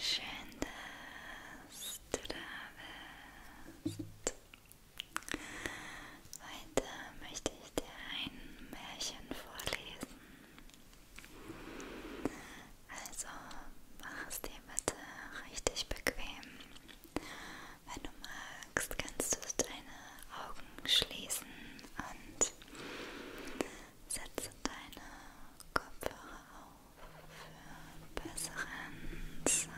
Schön, dass du da bist. Heute möchte ich dir ein Märchen vorlesen. Also mach es dir bitte richtig bequem. Wenn du magst, kannst du deine Augen schließen und setze deine Kopfhörer auf für besseren Sound.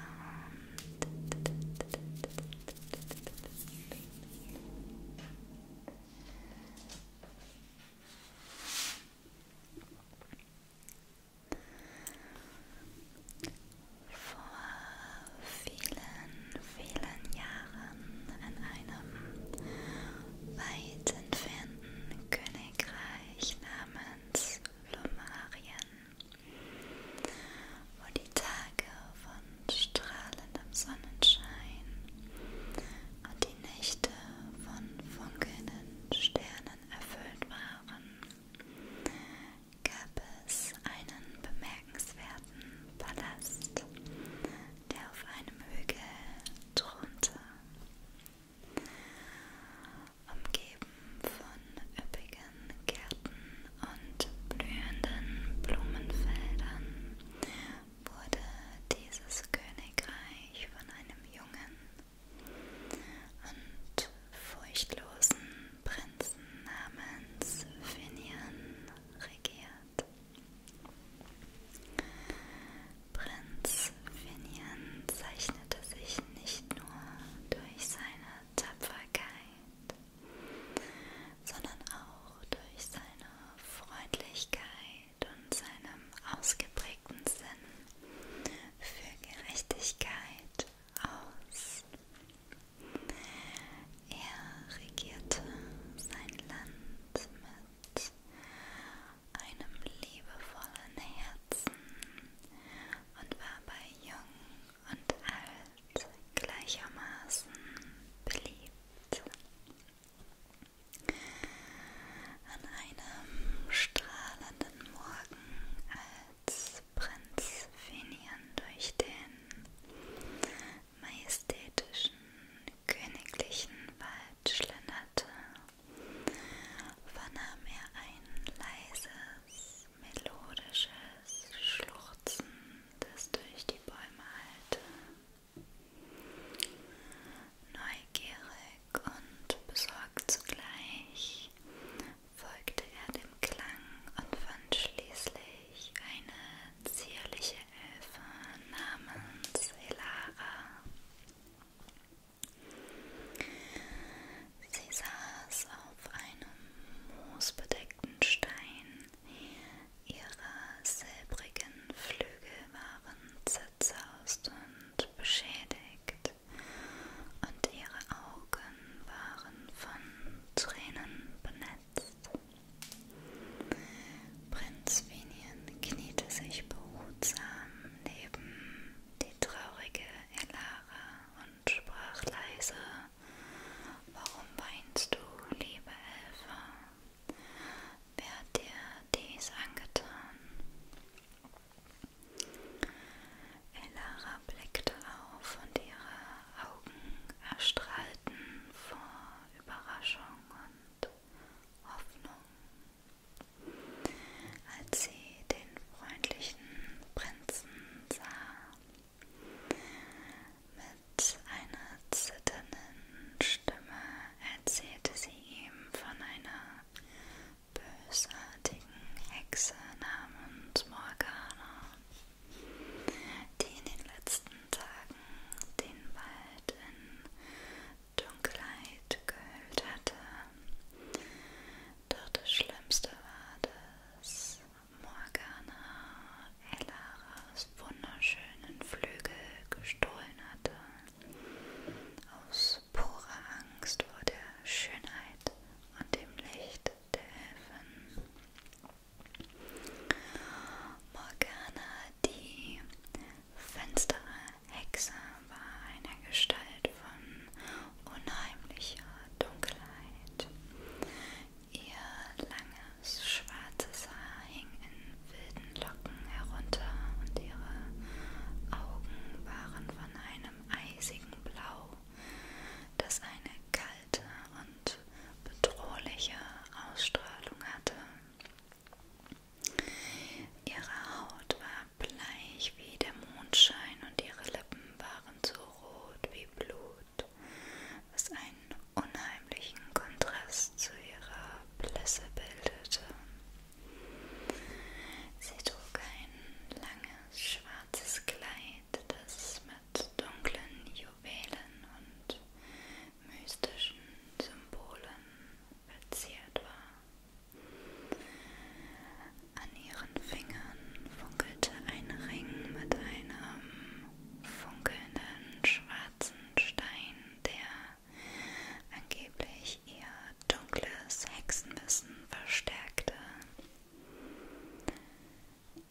Vor vielen, vielen Jahren in einem weit entfernten Königreich namens Lumarien, wo die Tage von strahlendem Sonnenschein und die Nächte von funkelnden Sternen erfüllt waren, gab es einen bemerkenswerten Palast, der auf einem Hügel thronte. Umgeben von üppigen Gärten und blühenden Blumenfeldern wurde dieses Königreich von einem jungen und furchtlosen Prinzen namens Finian regiert. Prinz Finian zeichnete sich nicht nur durch seine Tapferkeit, sondern auch durch seine Freundlichkeit und seinem ausgeprägten Sinn für Gerechtigkeit aus. Er regierte sein Land mit einem liebevollen Herzen und war bei jung und alt gleichermaßen beliebt. An einem strahlenden Morgen, als Prinz Finian durch den majestätischen königlichen Wald schlenderte, vernahm er ein leises, melodisches Schluchzen, das durch die Bäume hallte. Neugierig und besorgt zugleich folgte er dem Klang und fand schließlich eine zierliche Elfe namens Elara. Sie saß auf einem moosbedeckten Stein Ihre silbrigen Flügel waren zerzaust und beschädigt, und ihre Augen waren von Tränen benetzt. Prinz Vinien kniete sich behutsam neben die traurige Elara und sprach leise Warum weinst du, liebe Elfe? Wer hat dir dies angetan? Elara blickte auf und ihre Augen erstrahlten vor Überraschung und Hoffnung, als sie den freundlichen Prinzen sah. Mit einer zitternden Stimme erzählte sie ihm von einer bösartigen Hexe namens Morgana, die in den letzten Tagen den Wald in Dunkelheit gehüllt hatte. Doch das Schlimmste war, dass Morgana Ellaras wunderschönen Flügel gestohlen hatte, aus purer Angst vor der Schönheit und dem Licht der Elfen. Morgana, die finstere Hexe, war eine Gestalt von unheimlicher Dunkelheit, Ihr langes schwarzes Haar hing in wilden Locken herunter und ihre Augen waren von einem eisigen Blau, das eine kalte und bedrohliche Ausstrahlung hatte. Ihre Haut war bleich wie der Mondschein und ihre Lippen waren so rot wie Blut was einen unheimlichen Kontrast zu ihrer Blässe bildete. Sie trug ein langes schwarzes Kleid, das mit dunklen Juwelen und mystischen Symbolen verziert war. An ihren Fingern funkelte ein Ring mit einem funkelnden schwarzen Stein, der angeblich ihr dunkles Hexenwissen verstärkte.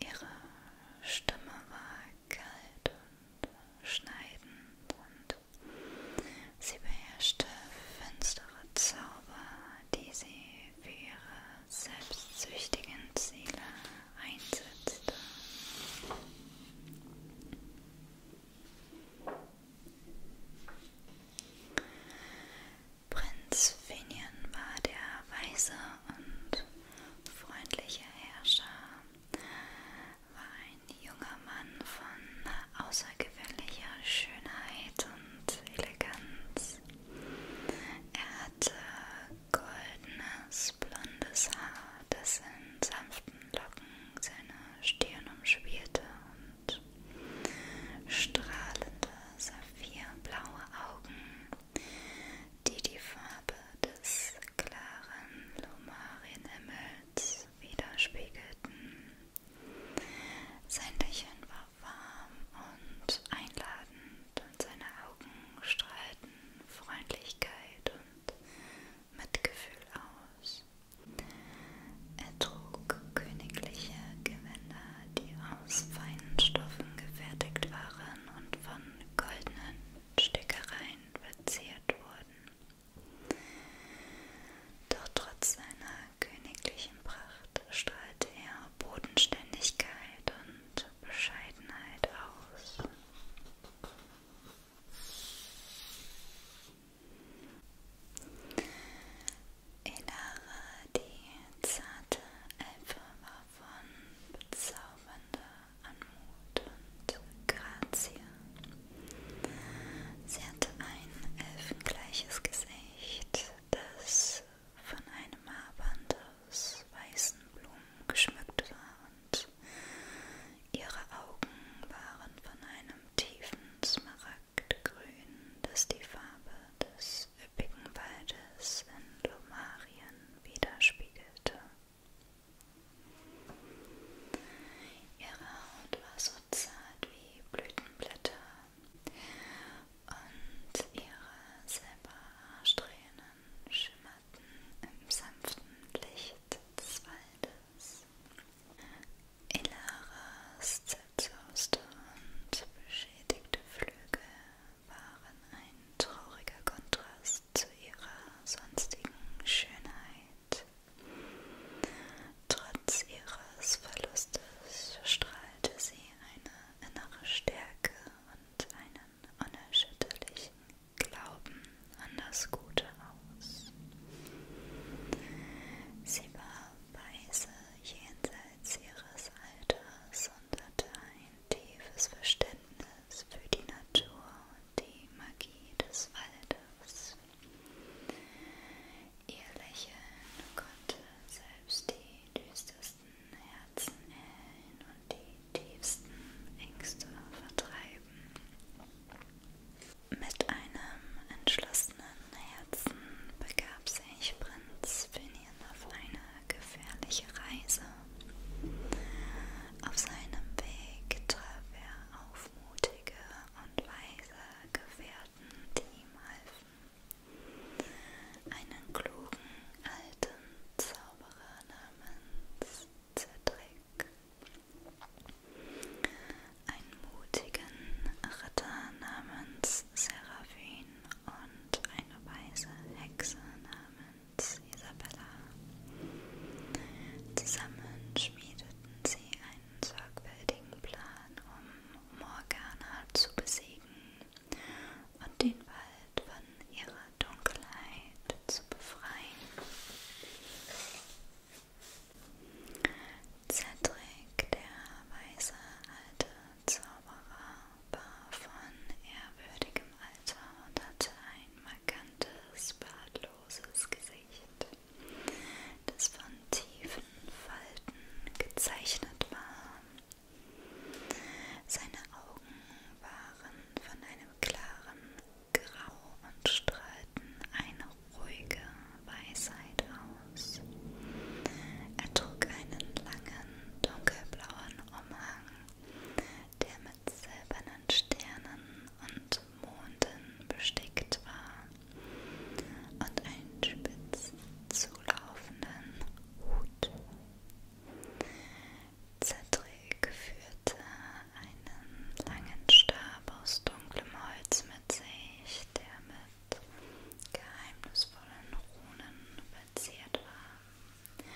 Ihre Stimme war kalt und schneidend und sie beherrschte finstere Zauber, die sie für ihre selbstsüchtigen Ziele einsetzte. Prinz Finian war der weise und freundliche Herrscher, war ein junger Mann von außergewöhnlicher Schönheit und Eleganz. Gesichts. Er hatte goldenes, blondes Haar, das in sanften Locken seine Stirn umspielte und strahlende, saphirblaue Augen, die die Farbe des klaren Lumarienhimmels widerspiegelten. Sein Lächeln war warm und einladend und seine Augen strahlten Freundlichkeit und Mitgefühl aus. Er trug königliche Gewänder, die aus feinen Stoffen gefertigt waren und von goldenen Stickereien verziert wurden. Doch trotz seiner königlichen Pracht strahlte er Bodenständigkeit und Bescheidenheit aus. Elara, die zarte Elfe, war von bezaubernder Anmut und Grazie. Sie hatte ein elfengleiches Gesicht, das von einem Haarband aus weißen Blumen geschmückt war und ihre Augen waren von einem tiefen Smaragdgrün, das die Farbe des üppigen Waldes in Lomarien widerspiegelte. Ihre Haut war so zart wie Blütenblätter und ihre Silberhaarsträhnen schimmerten im sanften Licht des Waldes. Ilaras zerzauste und beschädigte Flügel waren ein trauriger Kontrast zu ihrer sonstigen Schönheit. Trotz ihres Verlustes strahlte sie eine innere Stärke und einen unerschütterlichen Glauben an das Gute aus. Sie war weise jenseits ihres Alters und hatte ein tiefes Verständnis für die Natur und die Magie des Waldes. Ihr Lächeln konnte oh selbst die düstersten Herzen erhellen und die tiefsten Ängste vertreiben. Mit einem entschlossenen Herzen begab sich Prinz Finian auf eine gefährliche Reise. Auf seinem Weg traf er auf mutige und weise Gefährten Leuten, die ihm halfen. Einen klugen alten Zauberer namens Cedric. Einen mutigen Ritter namens Seraphin und eine weise Hexe namens Isabella. Zusammen schmiedeten sie ein einen sorgfältigen Plan, um Morgana zu besiegen und den Wald von ihrer Dunkelheit zu befreien. Cedric, der weiße alte Zauberer, war von ehrwürdigem Alter und hatte ein markantes, bartloses Gesicht das von tiefen Falten gezeichnet war. Seine Augen waren von einem klaren Grau und strahlten eine ruhige Weisheit aus. Er trug einen langen, dunkelblauen Umhang, der mit silbernen Sternen und Monden bestickt war und einen spitz zulaufenden Hut. Cedric führte einen langen Stab aus dunklem Holz mit sich, der mit geheimnisvollen Runen verziert war.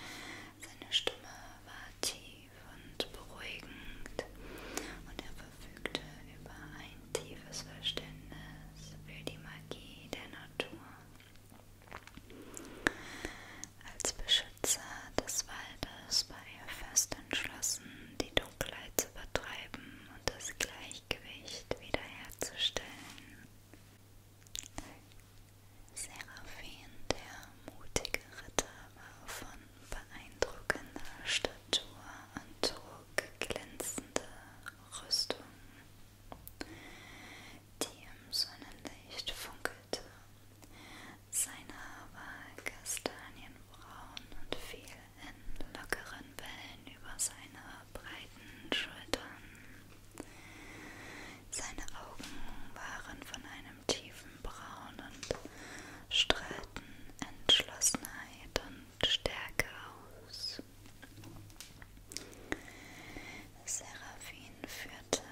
Seine Stimme war tief meditativ und beruhigend und er verfügte über ein tiefes Verständnis für die Magie der Natur. Als Beschützer des Waldes war er fest entschlossen, die Dunkelheit zu vertreiben und das Gleichgewicht wiederherzustellen. Seraphin, der mutige Ritter, war von beeindruckender Statur und trug glänzende Rüstung, die im Sonnenlicht funkelte. Sein Haar war kastanienbraun und fiel in lockeren Wellen über seine breiten Schultern. Seine Augen waren von einem tiefen Augenbrauen und strahlten Entschlossenheit und Stärke aus. Seraphin führte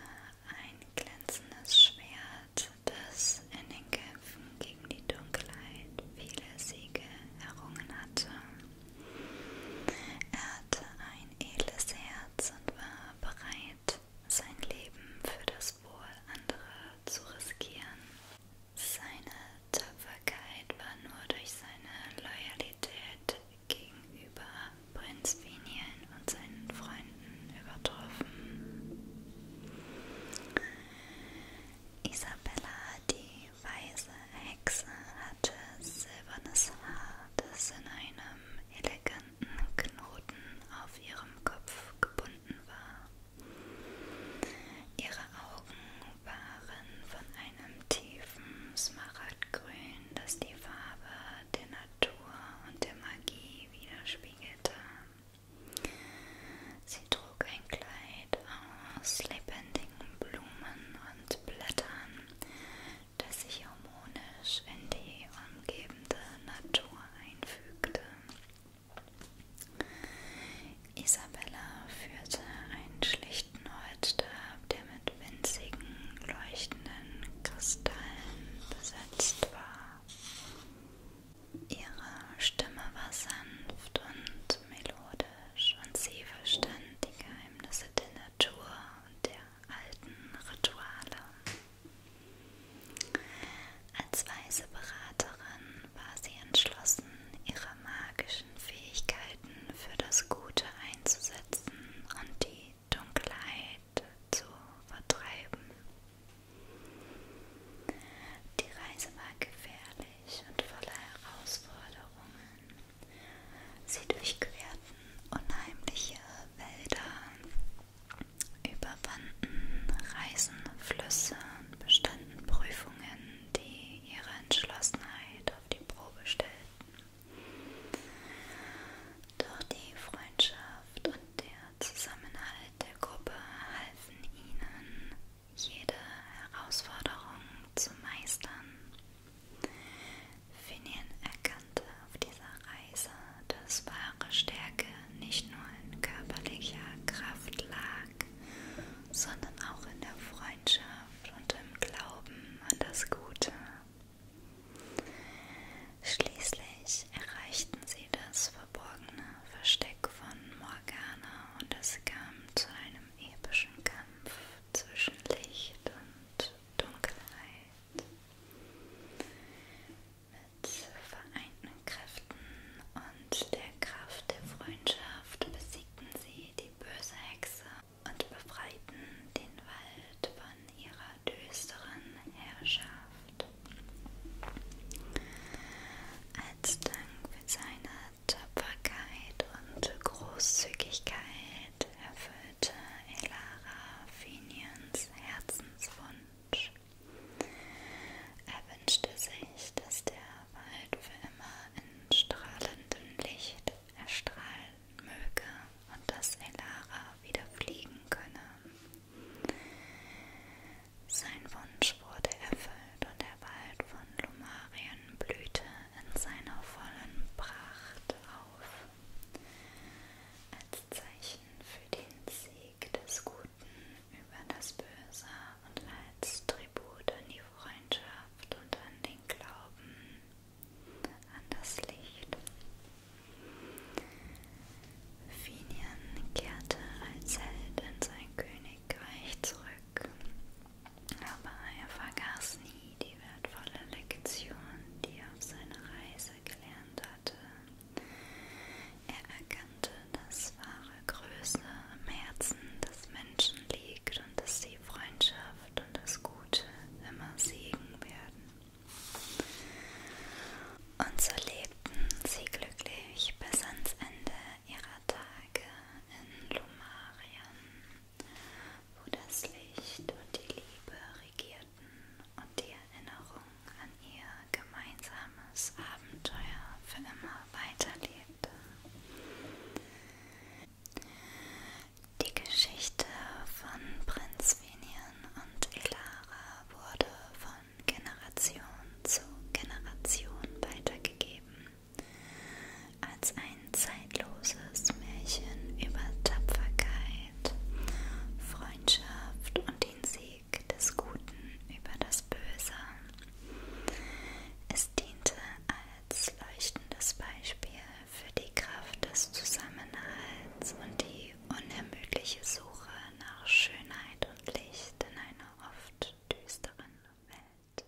ein glänzendes Schwert, das in den Kämpfen gegen die Dunkelheit viele Siege errungen hatte. Er hatte ein edles Herz und war bereit, bereit, sein Leben für das Wohl anderer zu riskieren. Seine Tapferkeit war nur durch seine Loyalität gegenüber Prinz Finien und seinen Freunden übertroffen. Isabella, die weise Hexe, hatte silbernes Haar, das in einem eleganten Knoten auf ihrem Kopf gebunden vorhanden war. Ihre Augen waren von einem tiefen Smaragdgrün, das die Farbe der Natur und der Magie widerspiegelte. Sie trug ein Kleid aus lebendigen Blumen und Blättern, das sich harmonisch in die umgebende Natur einfügte. Isabella führte einen schlichten Holzstab, der mit winzigen, leuchtenden Kristallen besetzt war. Ihre Stimme war sanft und melodisch und sie verstand die Geheimnisse der Natur und der alten Rituale. Als weise Beraterin war sie entschlossen, ihre magischen Fähigkeiten für das Gute einzusetzen und die Dunkelheit zu vertreiben. Die Reise war gefährlich und voller Herausforderungen. Sie durchquerten unheimliche Wälder, überwanden Reisen, Flüsse und bestanden Prüfungen, die ihre Entschlossenheit auf die Probe stellten. Doch die Freundschaft und der Zusammenhalt der Gruppe halfen ihnen, jede Herausforderung zu meistern. Finian erkannte auf dieser Reise, dass wahre Stärke nicht nur in körperlicher Kraft lag, sondern auch in der Freundschaft und im Glauben an das Gute. Schließlich erreichten sie das verborgene Versteck von Morgana und es kam zu einem epischen Kampf zwischen Licht und Dunkelheit. Mit vereinten Kräften und der Kraft der Freundschaft besiegten sie die böse Hexe und befreiten den Wald von ihrer düsteren Herrschaft. Als Dank für seine Tapferkeit und Großzügigkeit erfüllte Elara Fenians Herzenswunsch. Er wünschte sich, dass der Wald für immer in strahlendem Licht erstrahlen möge und dass Elara wieder fliegen könne. Sein Wunsch wurde erfüllt und der Wald von Lumarien blühte in seiner vollen Pracht auf. Als Zeichen für den Sieg des Guten über das Böse und als Tribut an die Freundschaft und an den Glauben an das Licht. Finian kehrte als Held in sein Königreich zurück, aber er vergaß nie die die wertvolle Lektion, die er auf seiner Reise gelernt hatte. Er erkannte, dass wahre Größe im Herzen des Menschen liegt und dass die Freundschaft und das Gute immer siegen werden. Und so lebten sie glücklich bis ans Ende ihrer Tage in Lumarien wo das Licht und die Liebe regierten und die Erinnerung an ihr gemeinsames Abenteuer für immer weiterlebte. Die Geschichte von Prinz Vinian und Elara wurde von Generation zu Generation weitergegeben als ein zeitloses Märchen über Tapferkeit, Freundschaft und den Sieg des Guten über das Böse. Es diente als leuchtendes Beispiel für die Kraft des Zusammenhalts und die unermüdliche Suche nach Schönheit und Licht in einer oft düsteren Welt.